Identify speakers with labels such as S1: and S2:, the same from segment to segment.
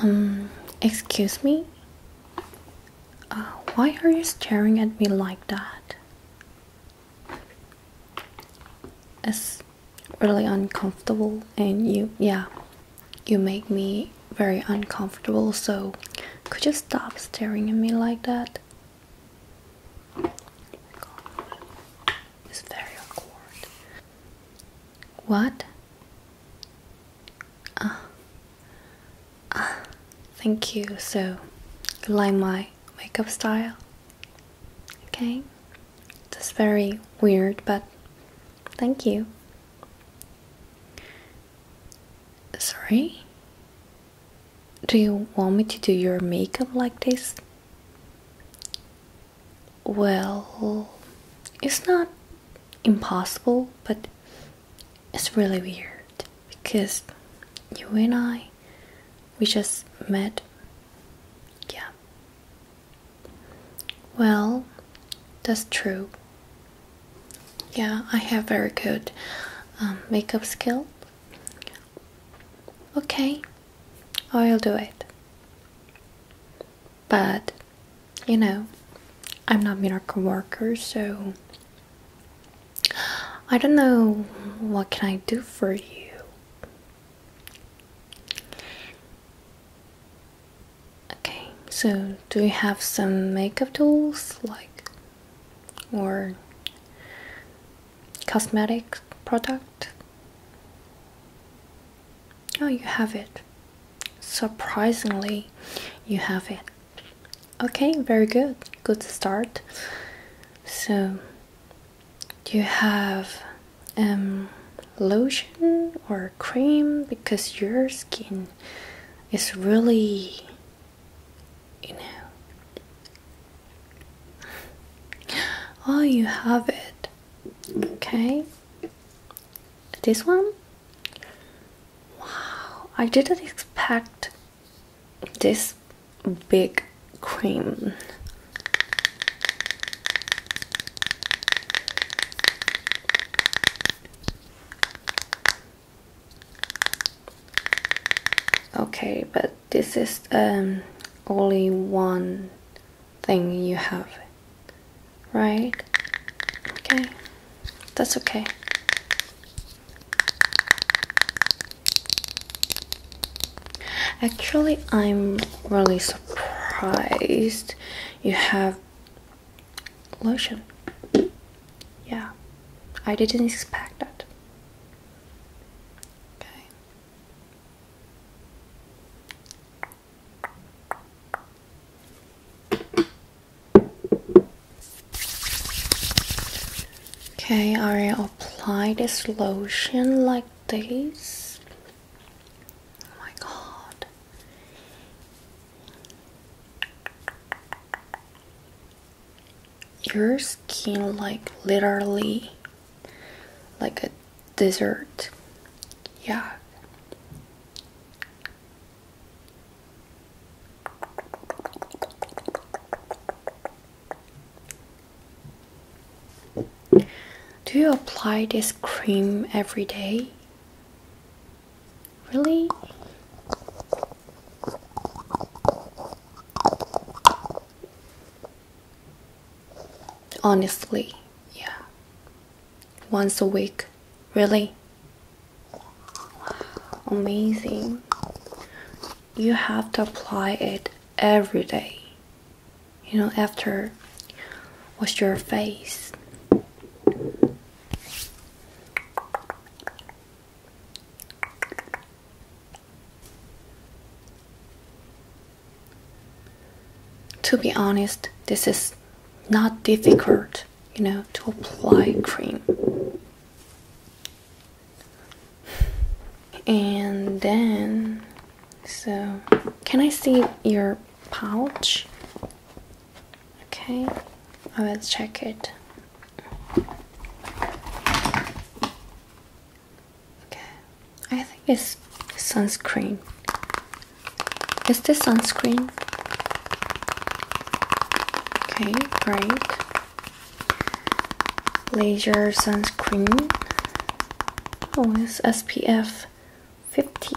S1: Um, excuse me? Uh, why are you staring at me like that? It's really uncomfortable, and you, yeah, you make me very uncomfortable, so could you stop staring at me like that? God. It's very awkward. What? Ah. Ah. Thank you. So, you like my makeup style? Okay. That's very weird, but thank you. Sorry? Do you want me to do your makeup like this? Well, it's not impossible, but it's really weird because you and I, we just met. Yeah. Well, that's true. Yeah, I have very good um, makeup skill. Okay, I'll do it. But, you know, I'm not a makeup worker, so I don't know what can I do for you. Okay, so do you have some makeup tools like or cosmetic product. Oh, you have it. Surprisingly, you have it. Okay, very good. Good start. So, do you have um, lotion or cream? Because your skin is really you know. Oh, you have it. Okay. This one? Wow, I didn't expect this big cream. Okay, but this is um, only one thing you have, right? Okay, that's okay. Actually, I'm really surprised you have lotion yeah, I didn't expect that. Okay. Okay, I apply this lotion like this. Oh my god your skin like literally like a dessert yeah do you apply this cream every day Really? Honestly, yeah. Once a week. Really? amazing. You have to apply it every day. You know, after wash your face. To be honest, this is not difficult, you know, to apply cream. And then, so can I see your pouch? Okay, I will check it. Okay, I think it's sunscreen. Is this sunscreen? Okay, great. Laser sunscreen. Oh, it's SPF 50.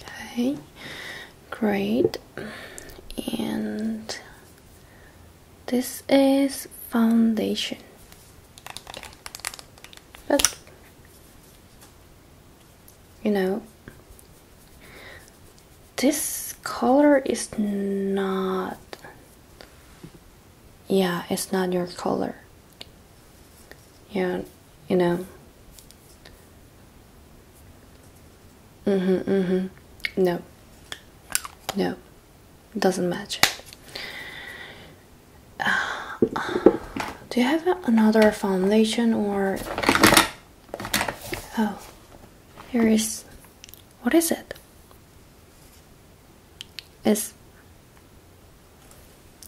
S1: Okay, great. And this is foundation. But you know, this color is not yeah, it's not your color. Yeah, you know. Mm hmm, mm hmm. No. No. Doesn't match uh, do you have another foundation or. Oh. Here is. What is it? It's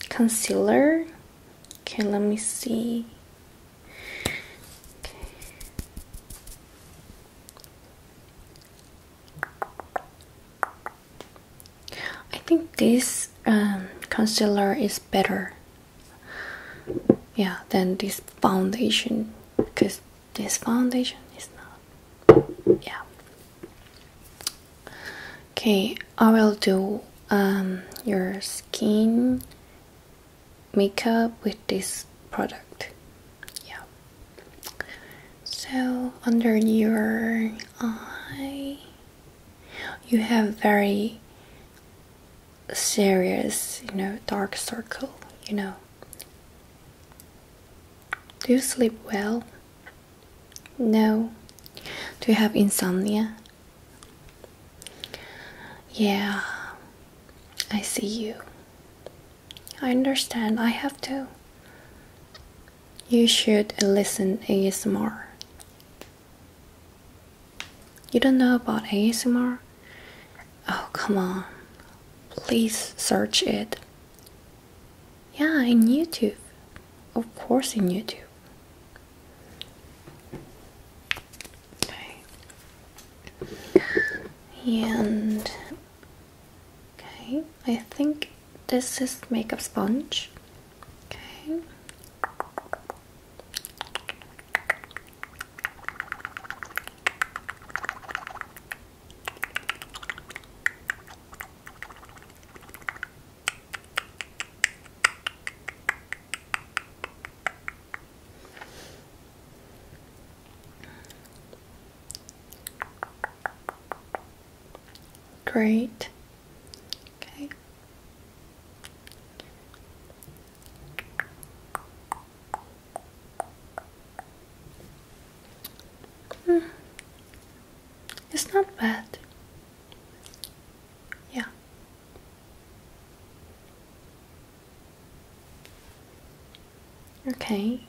S1: concealer. Okay, let me see. Okay. I think this um, concealer is better. Yeah, than this foundation because this foundation is not. Yeah. Okay, I will do um, your skin makeup with this product. Yeah. So under your eye, you have very serious, you know, dark circle. You know. Do you sleep well? No. Do you have insomnia? Yeah, I see you. I understand, I have to. You should listen ASMR. You don't know about ASMR? Oh, come on. Please search it. Yeah, in YouTube. Of course, in YouTube. Okay. And okay, I think this is makeup sponge. Okay. Great. Okay. Mm. It's not bad. Yeah. Okay.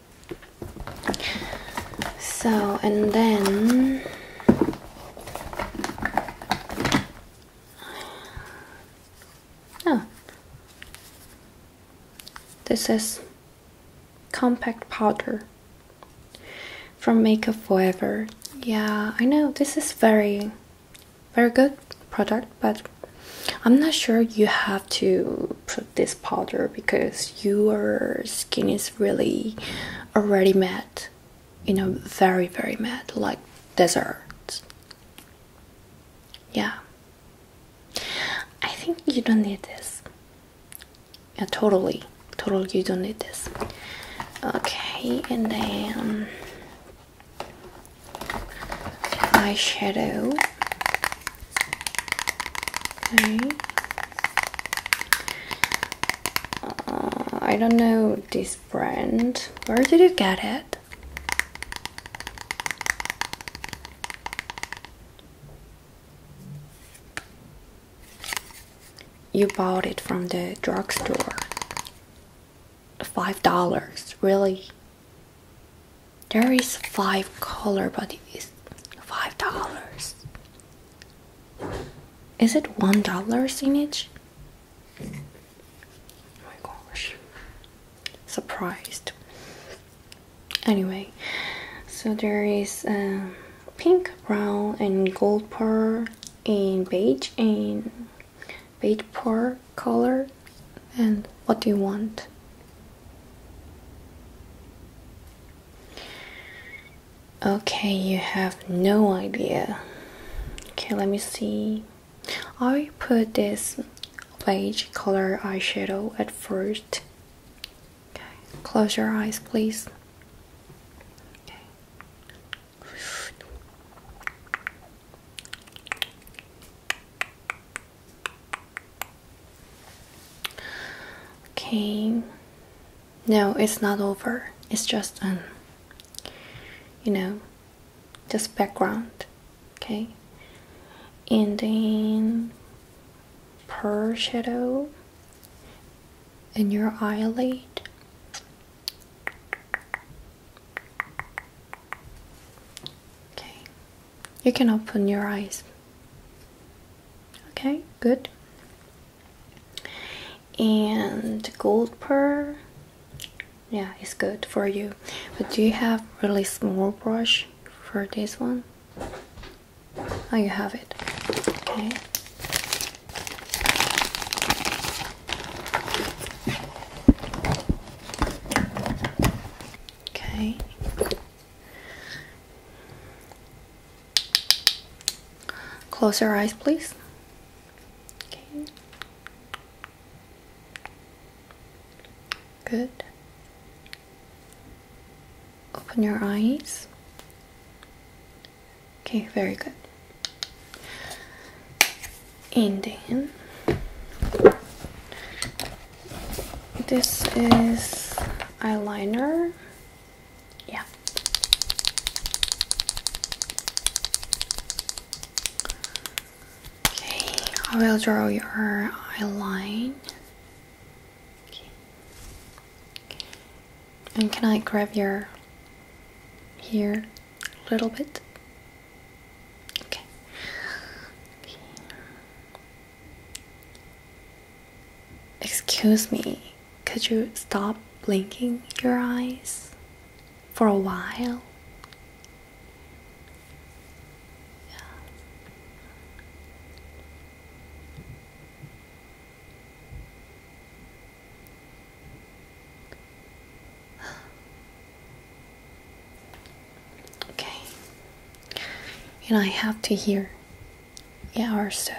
S1: So, and then Oh. This is compact powder from Makeup Forever. Yeah, I know this is very, very good product, but I'm not sure you have to put this powder because your skin is really already matte, you know, very, very matte, like desert. Yeah, I think you don't need this yeah, totally totally you don't need this okay and then eyeshadow okay uh, I don't know this brand where did you get it you bought it from the drugstore. Five dollars, really? There is five color, but it is five dollars. Is it one dollar in each? Oh my gosh. Surprised anyway so there is uh, pink brown and gold pear in beige and beige pear color and what do you want okay you have no idea okay let me see i put this beige color eyeshadow at first Okay, close your eyes, please. Okay. Okay. No, it's not over. It's just an um, you know, just background. Okay. And then pearl shadow in your eyelid. Okay, you can open your eyes. Okay, good. And gold pearl, yeah, it's good for you. But do you have really small brush for this one? Oh, you have it. Okay. Okay. Close your eyes, please. Okay. Good open your eyes. Okay, very good. And then this is eyeliner. Yeah. Okay, I will draw your eyeline and can I grab your here a little bit? Okay. okay. Excuse me, could you stop blinking your eyes for a while? Yeah. Okay, and I have to hear Yeah, or so.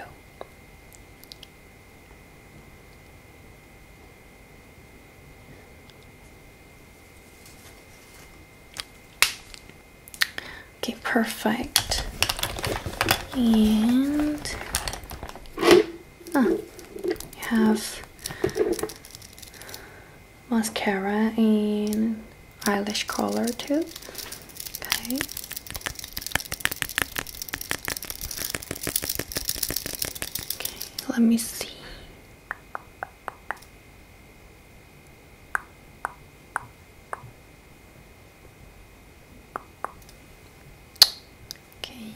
S1: Okay, perfect. And ah, have mascara in eyelash color too. Okay. Okay, let me see. Okay.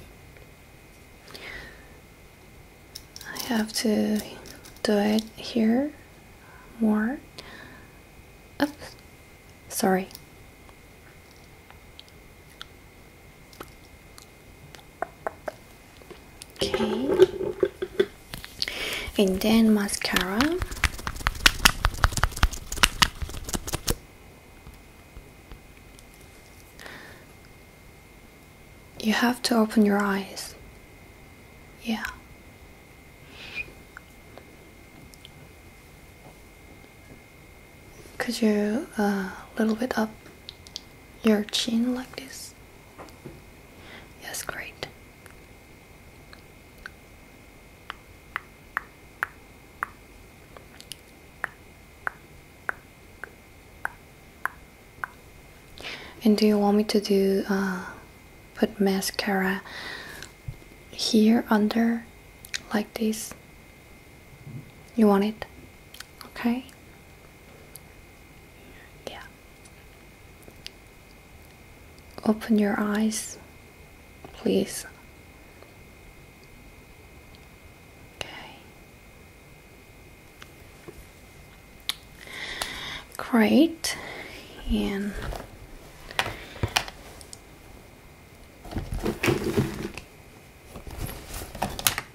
S1: I have to do it here more. Oops. Sorry okay and then mascara you have to open your eyes yeah cause you a uh, little bit up your chin like this Yes, great. And do you want me to do uh, put mascara here under like this? You want it? Okay. Yeah. Open your eyes, please. Okay. Great. And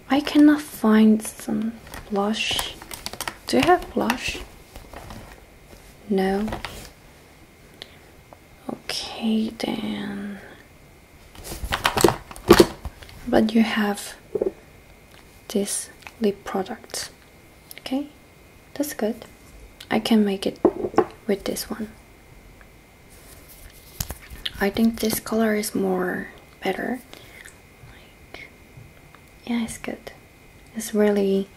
S1: I cannot find some blush do you have blush? No. Okay then. But you have this lip product. Okay, that's good. I can make it with this one. I think this color is more better yeah it's good it's really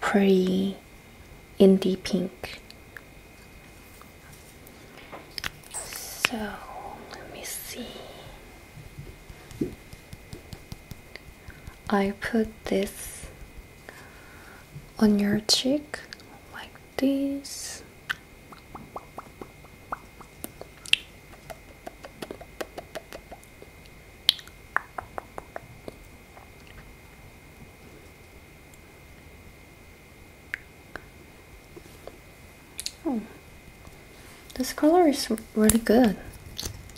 S1: pretty indie pink so let me see I put this on your cheek like this Oh, this color is really good.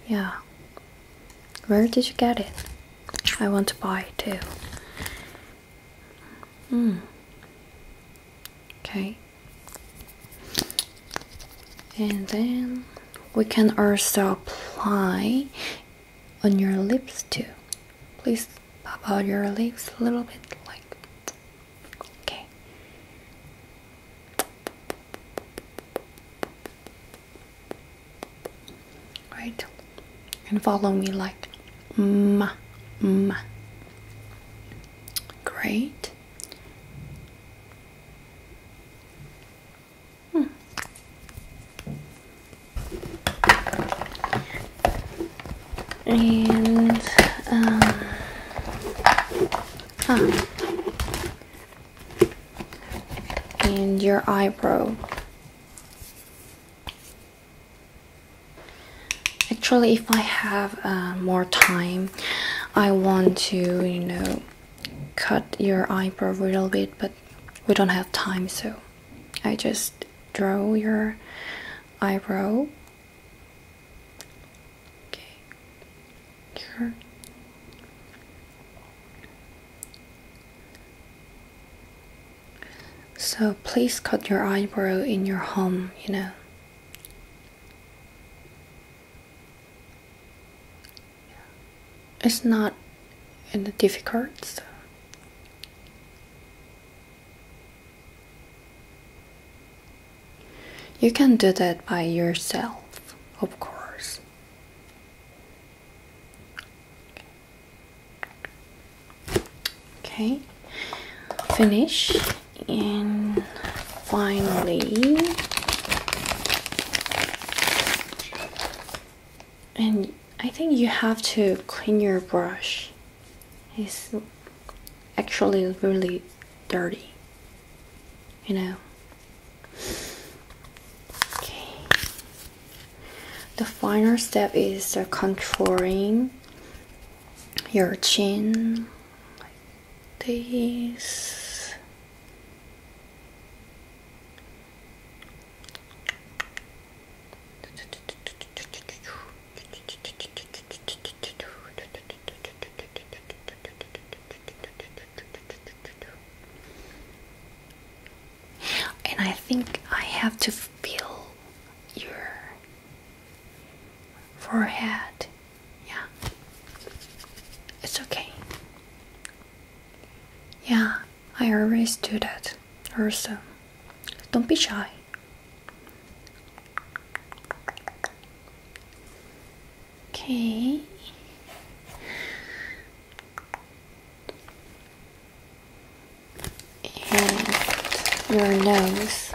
S1: Yeah. Where did you get it? I want to buy it too. Hmm. Okay and then we can also apply on your lips too please pop out your lips a little bit like okay right and follow me like ma ma great and, um, And your eyebrow. Actually, if I have uh, more time, I want to, you know, cut your eyebrow a little bit, but we don't have time, so I just draw your eyebrow. Okay, here. So please cut your eyebrow in your home, you know. It's not difficult. You can do that by yourself, of course. Okay finish and finally and I think you have to clean your brush it's actually really dirty you know okay the final step is controlling your chin this and I think I have to feel your forehead. Yeah, it's okay. Yeah, I always do that. Also, don't be shy. Okay. And your nose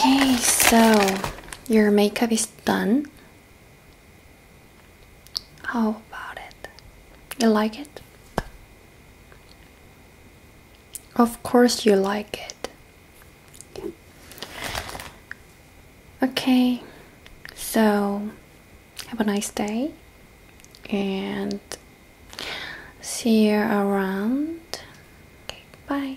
S1: Okay, so your makeup is done. How about it? You like it? Of course, you like it. Okay, so have a nice day and see you around. bye.